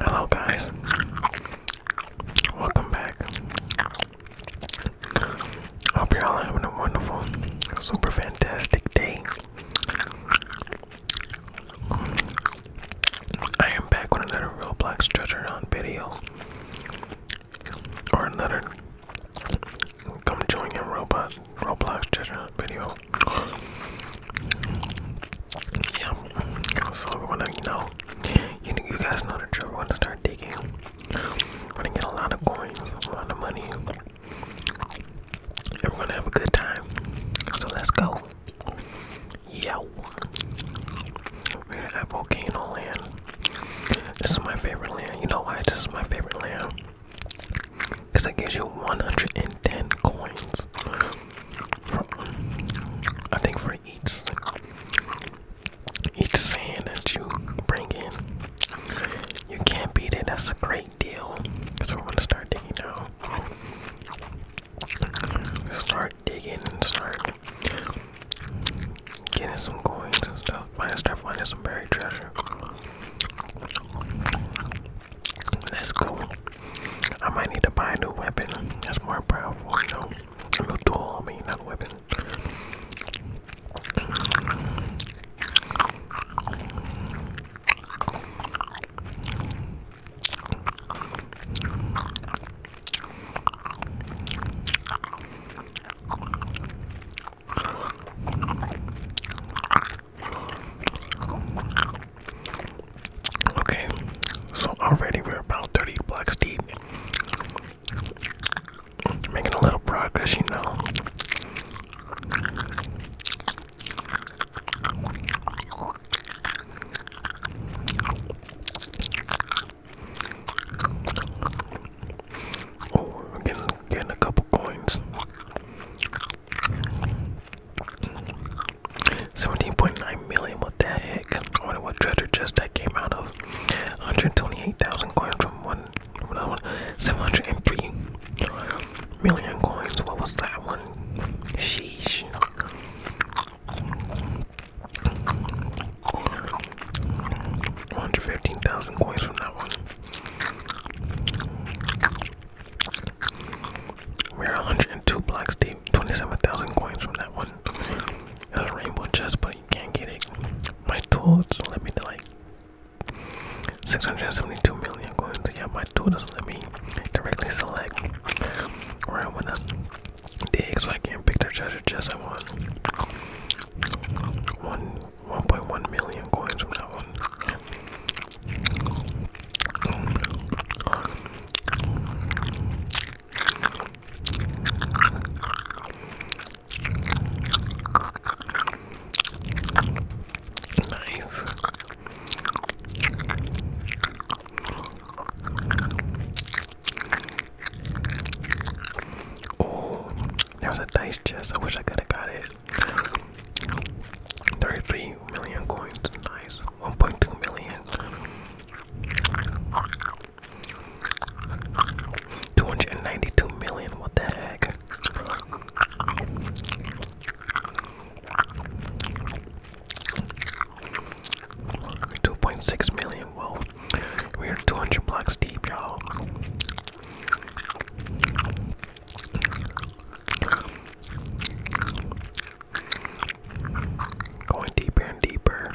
Hello, guys. Welcome back. Hope you're all having a wonderful, super fantastic day. I am back with another Black treasure on video. Or another come join in Roblox Roblox treasure hunt video. Yeah. So we going to you know you you guys know the drill, we going to start digging. We're gonna get a lot of coins, a lot of money. And we're gonna have a good time. So let's go. Yo, at Volcano Land. This is my favorite land. You know why this is my favorite land? Because it gives you 110 coins. I think for each each sand that you bring in. You can't beat it. That's a great deal. Because we're going to start digging now start digging and start getting some coins and stuff. Might start finding some buried treasure. Let's I might need to buy a new weapon that's more powerful, A new tool, I mean, not weapon. Okay, so already we're about 30 blocks deep. Making a little progress, you know. Oh, getting, a couple coins. 17.9 million, what the heck? I wonder what treasure chest that came out of. 128,000 coins from one. 703 million coins. What was that one? Sheesh. One hundred fifteen thousand coins from that one. We're one hundred and two blocks deep. Twenty-seven thousand coins from that one. There's a rainbow chest, but you can't get it. My tools let me like 672 million coins. Yeah, my tool doesn't let me directly select where I wanna dig, so I can pick the treasure chest I want. One 1.1 million coins from that one. Nice. Oh, there was a dice chest. I wish I could have got it. 33 million coins. Nice. 1.2 million. 292 million. What the heck? 2.6 million, whoa. We're 200 blocks deep, y'all. Going deeper and deeper.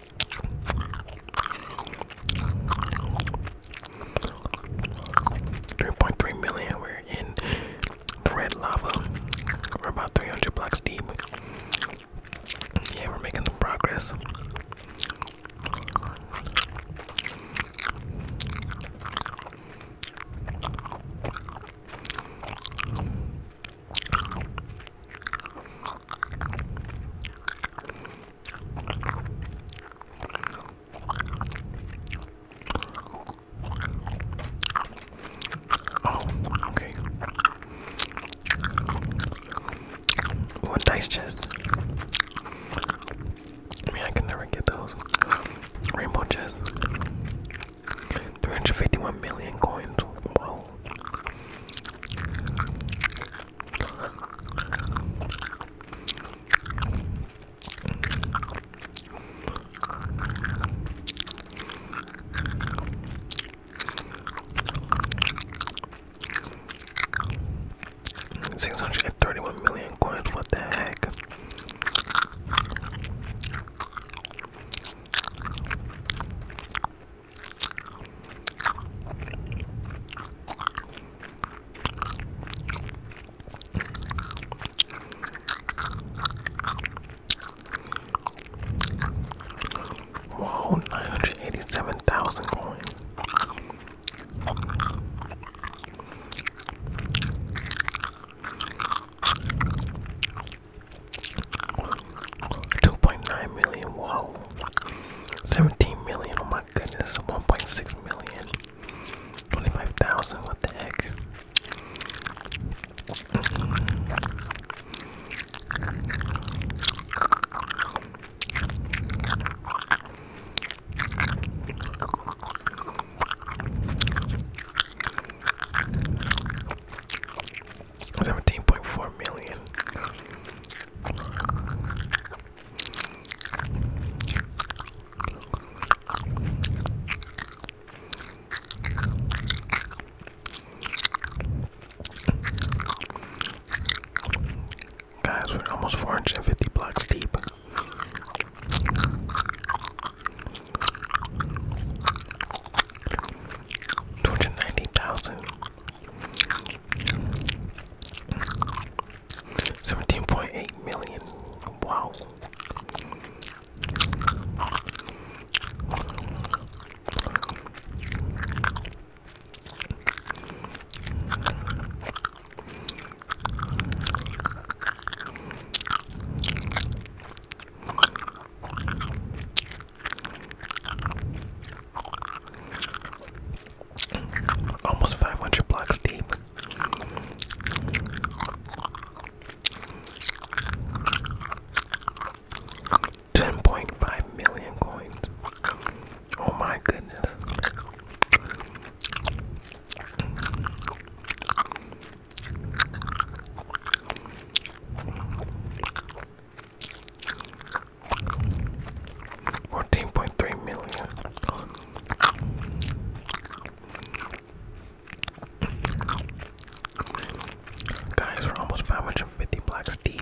3.3 million, we're in red lava. We're about 300 blocks deep. Yeah, we're making some progress. Oh, okay. What dice chest? I mean, I can never get those rainbow chests. 351 million coins. Wow. Six hundred and thirty one million coins, what the heck? Wow, nine hundred eighty seven thousand coins. 2.9 million, whoa. 17 million, oh my goodness, 1.6 million. 25,000, what the heck? Seventeen point four million. Guys, we're almost four hundred and fifty blocks deep. Two hundred ninety thousand seventeen point eight million. Wow. Almost 500 blocks deep. Ten point five million coins. Oh my goodness. Fourteen point three million. Guys, we're almost five hundred and fifty blocks deep.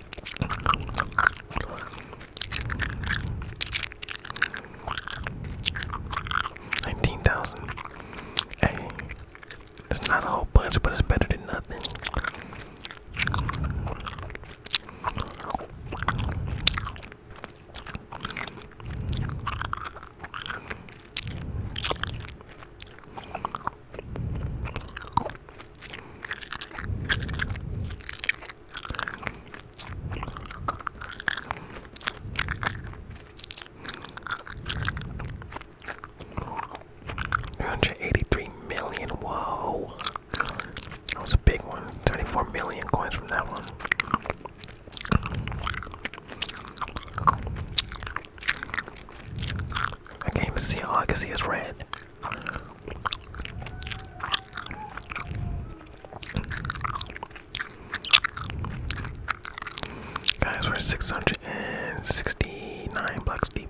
Nineteen thousand. Hey, it's not a whole bunch, but it's better than nothing. 183 million, whoa. That was a big one. 34 million coins from that one. I can't even see all I can see is red. Guys, we're 669 blocks deep.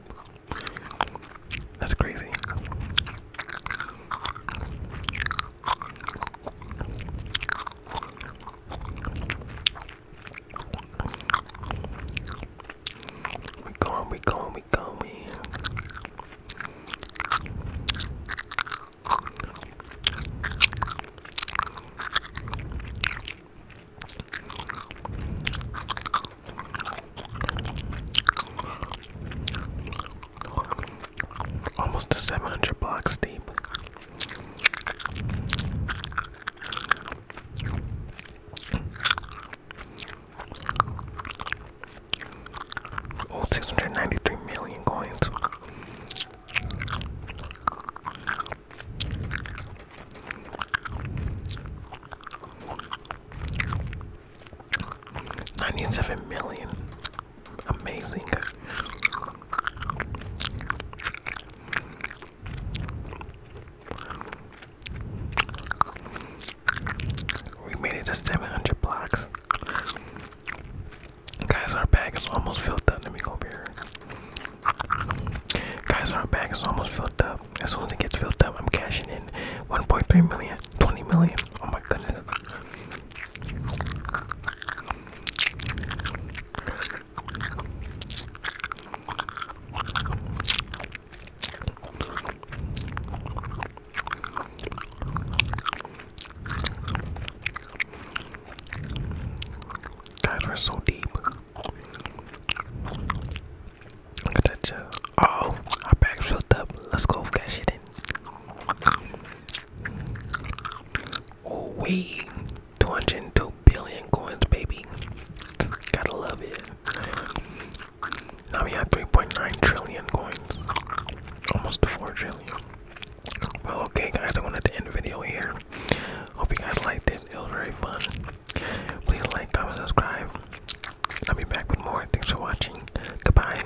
That's crazy. We going, we going, we going. Almost to 700 blocks deep. Oh, 693 million coins. Ninety-seven million, amazing. We made it to 700 blocks. Guys, our bag is almost filled up. Let me go over here. Guys, our bag is almost filled up. As soon as it gets filled up, I'm cashing in 1.3 million, 20 million. Oh my goodness. Guys, are so deep. Look that chill. Oh, our bag's filled up. Let's go get shit in. Oh, we 202 billion coins, baby. Gotta love it. Now we have 3.9 trillion coins, almost 4 trillion. Well, okay, guys, I wanted to end the video here. Hope you guys liked it. It was very fun. Please like, comment, subscribe. I'll be back with more. Thanks for watching. Goodbye.